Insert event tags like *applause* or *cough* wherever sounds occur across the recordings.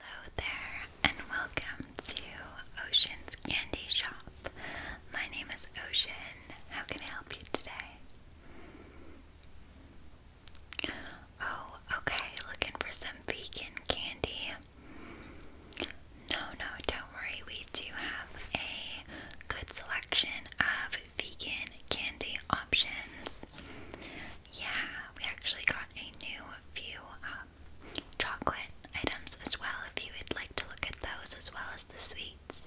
Hello there, and welcome to Ocean's Candy Shop. My name is Ocean. How can I help you today? Oh, okay, looking for some vegan candy. No, no, don't worry. We do have a good selection of vegan candy options this. Yeah, we actually got a new few um, chocolate items as well if you would like to look at those as well as the sweets.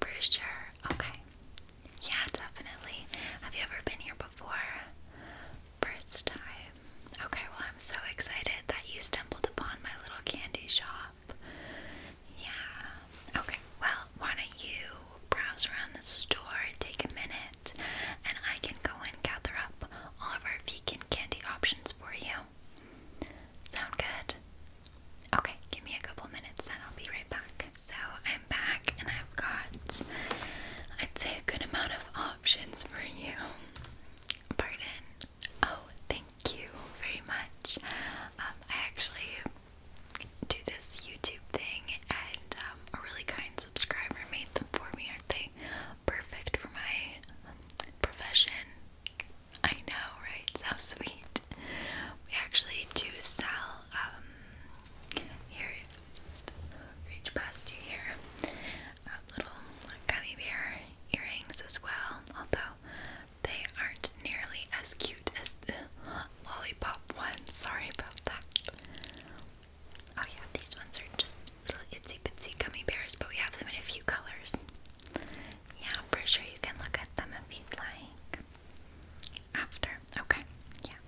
For sure. Okay. Yeah, definitely. Have you ever been here before? First time. Okay, well, I'm so excited that you stumbled upon my little candy shop. Yeah. Okay, well, why don't you browse around the store, take a minute, and I can go and gather up all of our vegan candy options for you. Sound good? Okay, give me a couple minutes and I'll be right back. So I'm back and I've got, I'd say, a good amount of options for you. Pardon. Oh, thank you very much. Um, I actually do this YouTube thing and uh, um, a really kind subscriber made them for me. Aren't they perfect for my profession? I know, right? How sweet. We actually do sell, um, here, just reach past you here, um, little gummy bear earrings as well, although they aren't nearly as cute as the lollipop ones. Sorry about that. Oh yeah, these ones are just little itsy bitsy gummy bears, but we have them in a few colors. Yeah, I'm pretty sure you can look at them if you'd like. After. Okay. Yeah.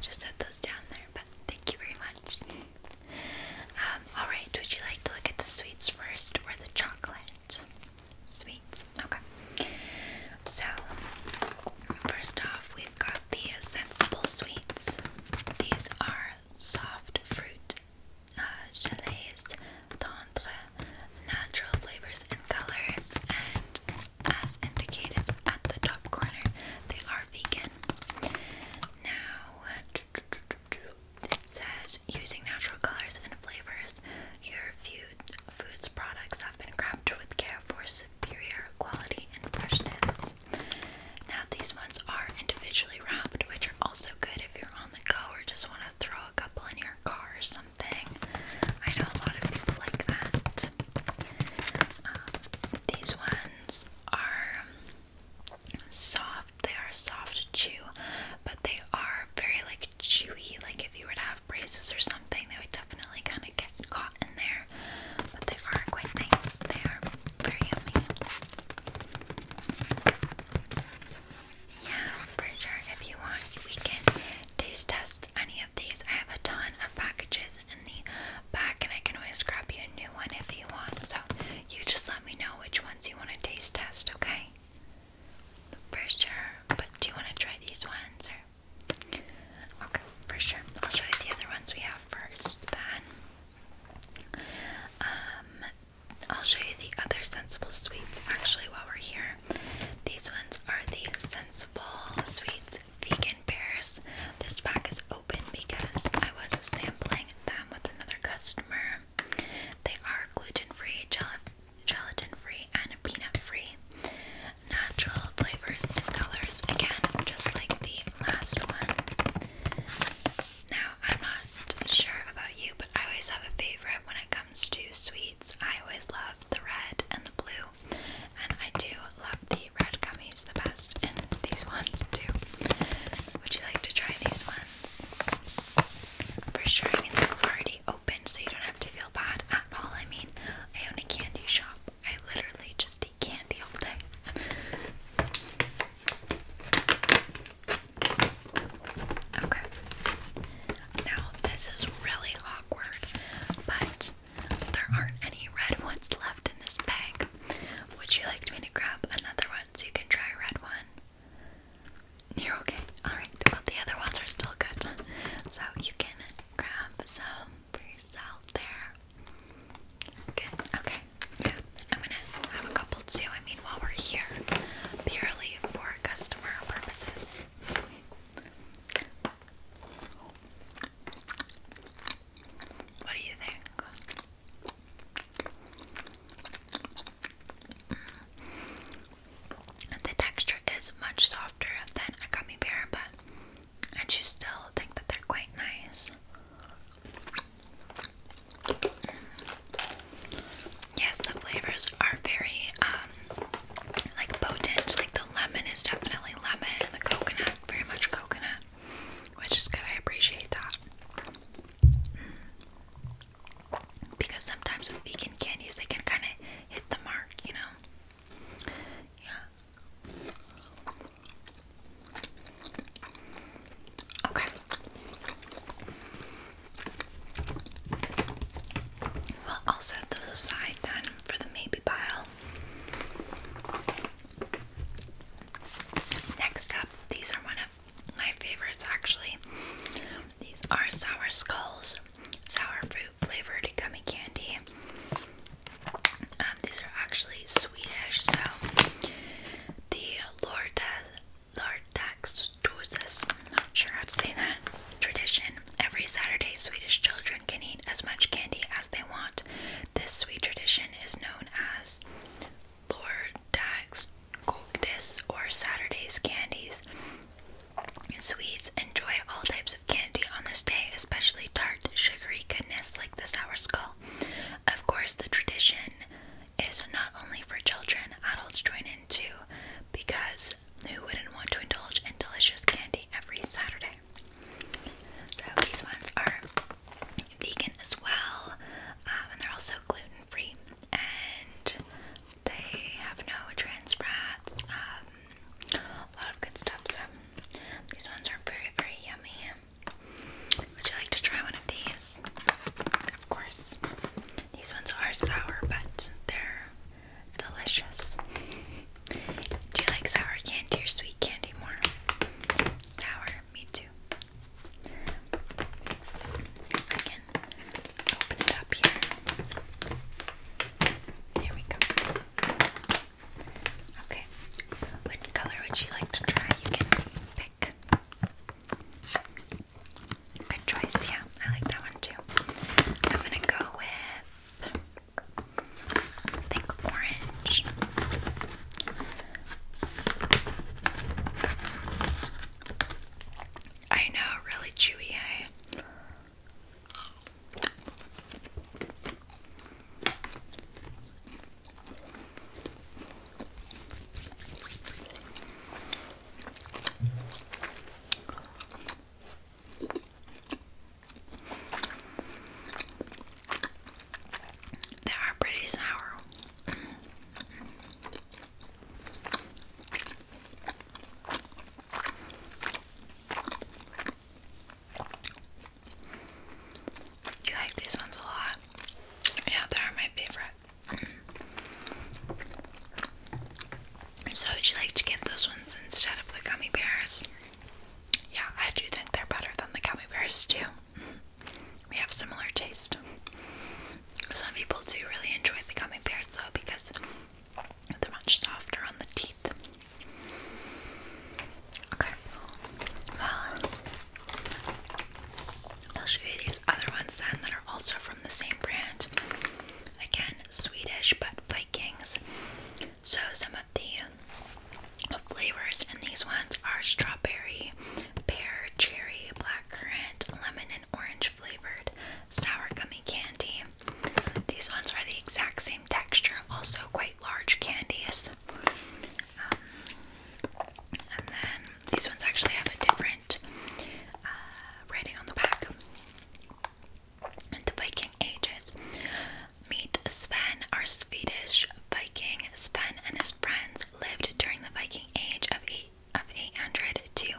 Just set those down there, but thank you very much. Um, alright, would you like to look at the sweets first or the chocolate? Sweets. Okay. So, first off, we've got the Sensible Sweets. These are soft fruit uh, gelées, tendre, natural flavors and colors, and as indicated at the top corner, they are vegan. Now, it says using natural colors and flavors, a few food, foods products have been crafted with care for superior quality and freshness. Now, these ones are individually wrapped, which are also good if you're on the go or just want to throw a couple in your car or something. I know a lot of people like that. Um, these ones are soft, they are soft to chew, but they are very like chewy. Like, if you were to have braces or something, they would definitely kind of get caught in there, but they are quite nice. They are very yummy. Yeah, for sure. If you want, we can taste test any of these. I have a ton of packages in the back, and I can always grab you a new one if you want. So you just let me know which ones you want to taste test, okay? For sure. But do you want to try these ones or? Okay, for sure. I'll show you the other ones we have first then. Um, I'll show you the other sensible sweets actually while we're here. These ones are the sensible sweets vegan pears. This pack is open because I was sampling them with another customer. They are gluten free, gelatin free, and peanut free natural flavors and colors again, just like the last one. Now, I'm not sure about you, but I always have a favorite when it comes to sweets. I always love the red and the blue, and I do love the red gummies the best, and these ones too. Would you like to try these ones? For sure, I mean, they're already open so you don't have to feel bad at all. I mean, I own a candy shop. I literally just eat candy all day. Okay. Now, this is really awkward, but there aren't any red ones left in this bag. Would you like me to grab another one so you can try a red one? You're okay. Alright, well, the other ones are still good. So you can grab some for yourself there. Okay. Yeah. I'm gonna have a couple too. I mean, while we're here, purely for customer purposes. What do you think? The texture is much softer than a gummy bear, but and you still think that they're quite nice. Yes, the flavors are very um like potent. Like the lemon is definitely lemon and the coconut very much coconut. Which is good, I appreciate that. Mm. Because sometimes with vegan candies they can kinda hit the mark, you know? Yeah. Okay. Well, I'll set those aside then for the maybe pile. Next up, these are one of my favorites actually. These are Sour Skulls sour fruit flavored gummy candy. Um, these are actually Swedish, so the Lordagsdosis, not sure how to say that, tradition. Every Saturday, Swedish children can eat as much candy as they want. This sweet tradition is known as Lordagsdosis or Saturday's Candies. Swedes enjoy all types of candy on this day, especially tart, sugary goodness like the sour skull. Of course, the tradition is not only for children, adults join in too, because who wouldn't want to indulge in delicious candy every Saturday? So these ones are vegan as well, uh, and they're also gluten free. And they have no trans fats, um, a lot of good stuff. So these ones are very, very yummy. Would you like to try one of these? Of course. These ones are sour, but they're delicious. Do you like sour candy or sweet candy more? Sour, me too. let open it up here. There we go. Okay. Which color would you like to try? You can pick. Good choice, yeah. I like that one too. I'm gonna go with I think orange. I know, really chewy, hey? Eh? They are pretty sour. You like these ones a lot? Yeah, they're my favorite. *clears throat* so, would you like to get those ones instead of the gummy bears? Yeah, I do think they're better than the gummy bears, too. *laughs* we have similar taste. Some people do really enjoy the gummy bears though because they're much softer on the teeth. Okay, well, I'll show you these other ones then that are also from the same brand. Again, Swedish but Vikings. So some of the flavors in these ones are strawberry, pear, cherry, black currant, lemon, and orange flavored sour candy. These ones are the exact same texture, also quite large candies. Um, and then these ones actually have a different uh, writing on the back. the Viking ages. Meet Sven, our Swedish Viking. Sven and his friends lived during the Viking Age of eight of 800 to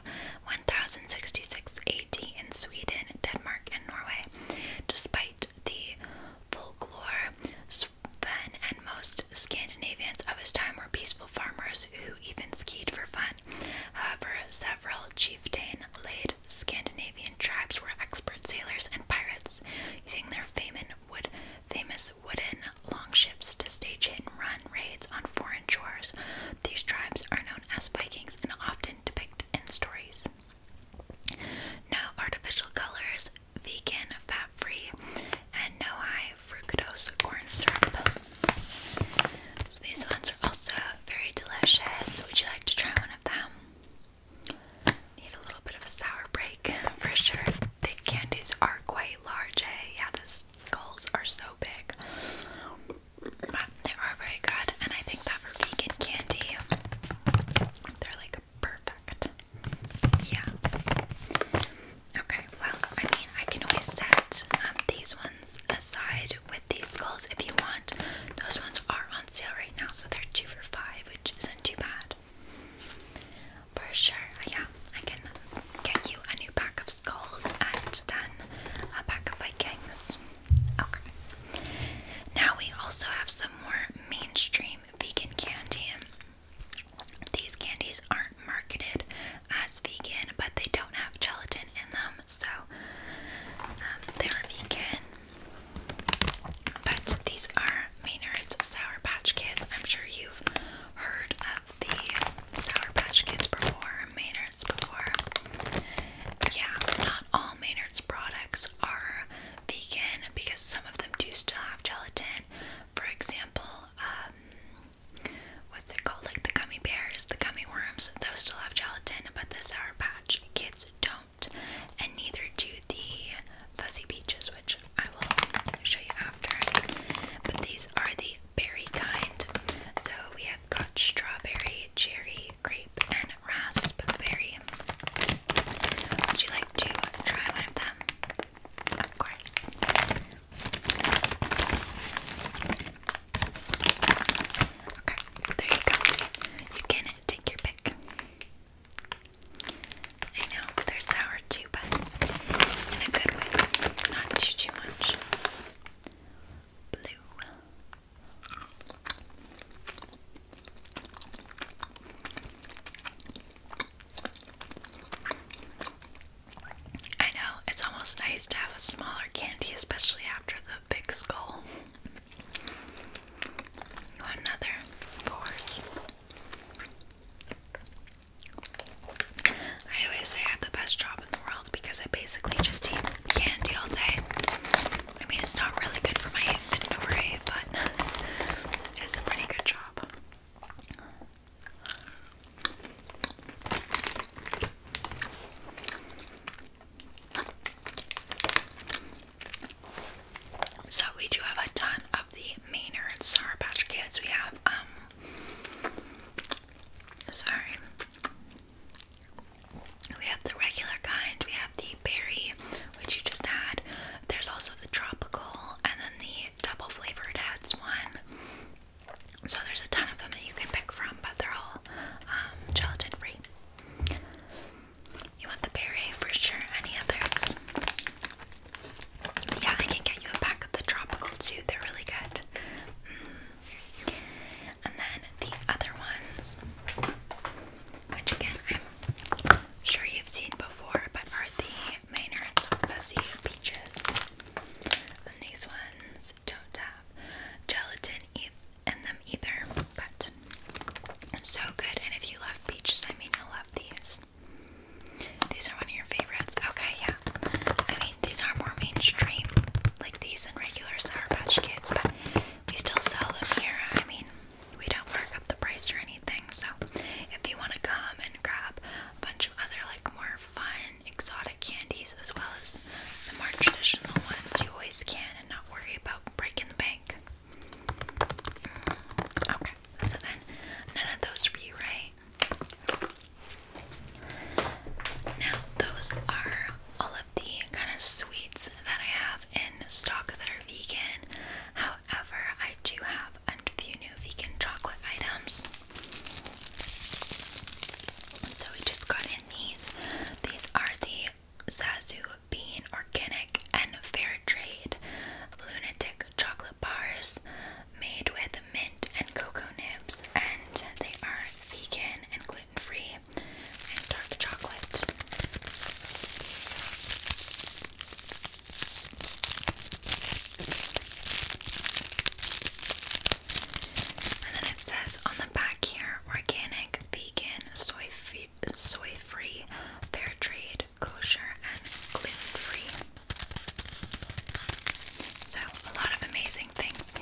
1066 AD in Sweden, Denmark, and Norway. Despite the folklore, Sven and most Scandinavians of his time were peaceful farmers who even skied for fun. However, several chieftain led Scandinavian tribes were expert sailors and pirates, using their wood, famous use wooden longships to stage hit and run raids on foreign shores. These tribes are known as Vikings and often depicted in stories. No artificial colors, vegan, fat free, and no high fructose corn syrup. these ones are also very delicious. Would you like to try one of them? Need a little bit of a sour break for sure the candies are quite large. Hey, eh? yeah, the skulls are so big. But they are very good, and I think that for vegan candy, they're like perfect. Yeah. Okay, well, I mean, I can always set um, these ones aside with these skulls if you want. Those ones are on sale right now, so they're two for five, which isn't too bad. For sure, uh, yeah, I can get you a new pack of skulls and then a pack of Vikings. Okay. Now we also have some more mainstream vegan candy. These candies aren't marketed as vegan, but they don't have gelatin in them, so um, they're vegan. But these are Maynard's Sour Patch Kids. I'm sure you've heard of have the Sour Patch Kids before, Maynard's before. Yeah, not all Maynard's products are vegan because some of them do still have gelatin. For example, um, what's it called? Like the gummy bears, the gummy worms, those still have gelatin, but the Sour Patch Kids don't. And neither do the Fuzzy Peaches, which I will show you after. But these are the berry kind. So we have got strawberry, cherry, grape, and raspberry. Would you like to try one of them? Of course. Okay, there you go. You can take your pick. I know they're sour too, but in a good way, not too too much. Blue. I know it's almost nice to have a smaller candy, especially after the big skull. Another fours. I always say I have the best job in the world because I basically just eat candy all day. I mean, it's not really good for my inventory, but it's a pretty good job. So, we do have a ton the Maynard Sour Patch Kids. We have, um, sorry. We have the regular kind. We have the berry, which you just had. There's also the tropical and then the double flavored heads one. So there's a ton of them that you can pick from, but they're all um, gelatin free. You want the berry for sure. Any others? Yeah, I can get you a pack of the tropical too. They're really good. Mm. And then the other ones, which again I'm sure you've seen before, but are the Maynard's Fuzzy Peaches. And these ones don't have gelatin in them either, but so good. And if you love peaches, I mean, love these. These are one of your favorites. Okay, yeah. I mean, these are more mainstream, like these and regular Sour Patch Kids, but we still sell them here. I mean, we don't mark up the price or anything. So, if you want to come and grab a bunch of other, like, more fun, exotic candies as well as the more traditional ones, you always can and not worry about breaking the bank. Okay, so then none of those for Now, those are all of the kind of sweets that I have in stock that are vegan. However, I do have a few new vegan chocolate items. So we just got in these. These are the Zazu Bean Organic and Fair Trade Lunatic chocolate bars made with mint and cocoa nibs, and they are vegan and gluten free and dark chocolate. And then it says on the back here organic, vegan, soy free, fair trade, kosher and gluten-free. So, a lot of amazing things.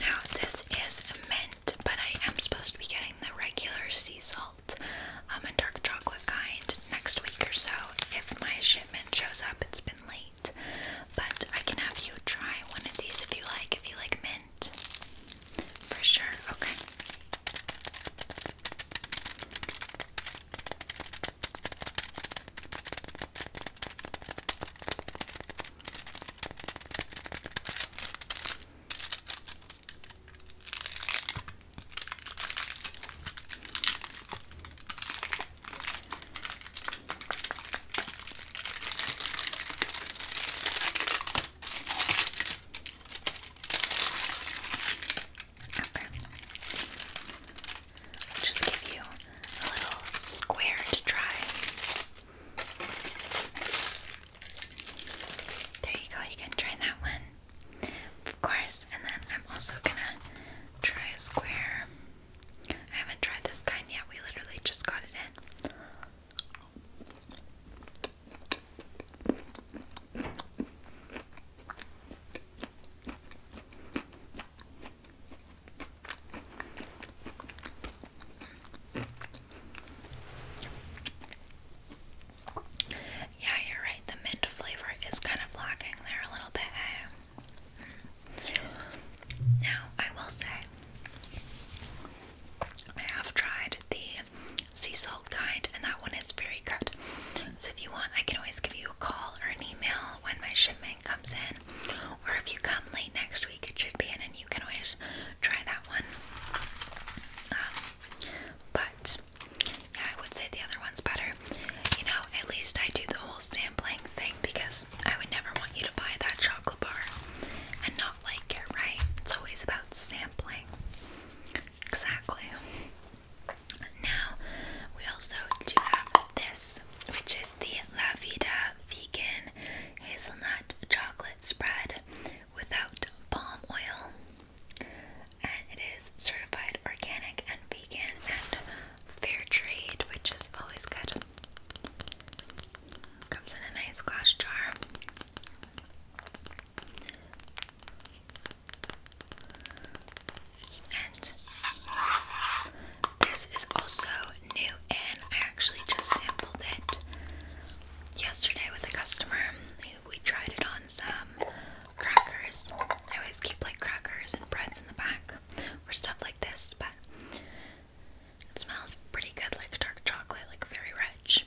Now, this is mint, but I am supposed to be getting the regular sea salt um, and dark chocolate kind next week or so if my shipment shows up late. But I can have you try one of these if you like, if you like mint. For sure, okay just give you a little square to try. There you go, you can try that one. Of course, and then I'm also gonna try a square. I haven't tried this kind yet. We literally just got it in. Yeah, you're right. The mint flavor is kind of lacking there a little bit. Now, I will say, I have tried the sea salt kind, and that one is very good. So, if you want, I can always give you a call or an email when my shipment comes in, or if you come late next week, it should be in, and you can always try that one. Um, but yeah, I would say the other one's better. You know, at least I do the whole sampling thing because I would never want you to buy that chocolate bar and not like it, right? It's always about sampling. Exactly. Now, we also do have this, which is the La Vegan Hazelnut Chocolate Spread without palm oil. And it is certified organic and vegan fair trade, which is always good. Comes in a nice glass jar. And this is also new and I actually just sampled it yesterday with a customer. We tried it on some crackers. I always keep like crackers and breads in the back or stuff like this, but it smells pretty good, like dark chocolate, like very rich.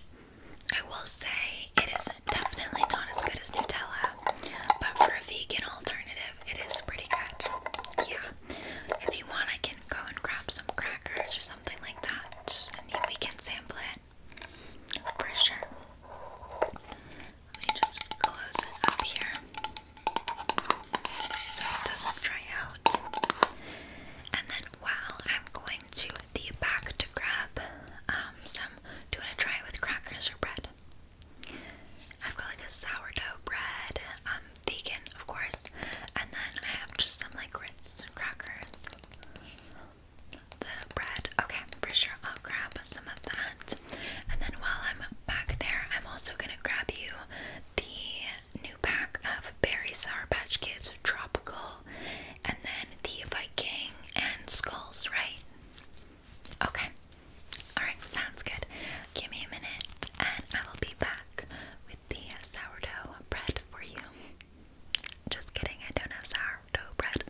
I will say it is definitely not as good as Nutella, but for a vegan alternative, it is pretty good. Yeah, if you want, I can go and grab some crackers or something like that, and we can sample it for sure. Let me just close it up here so it doesn't dry out. And then while I'm going to the back to grab um, some, do you want to try it with crackers or bread? I've got like a sourdough bread, um, vegan of course, and then I have just some like grits and crackers. The bread, okay, for sure I'll grab some of that. And then while I'm back there, I'm also going to grab you the new pack of Berry Sour Patch Kids Tropical and then the Viking and Skulls, right? Okay. Alright, sounds good. Give me a minute and I will be back with the sourdough bread for you. Just kidding, I don't have sourdough bread.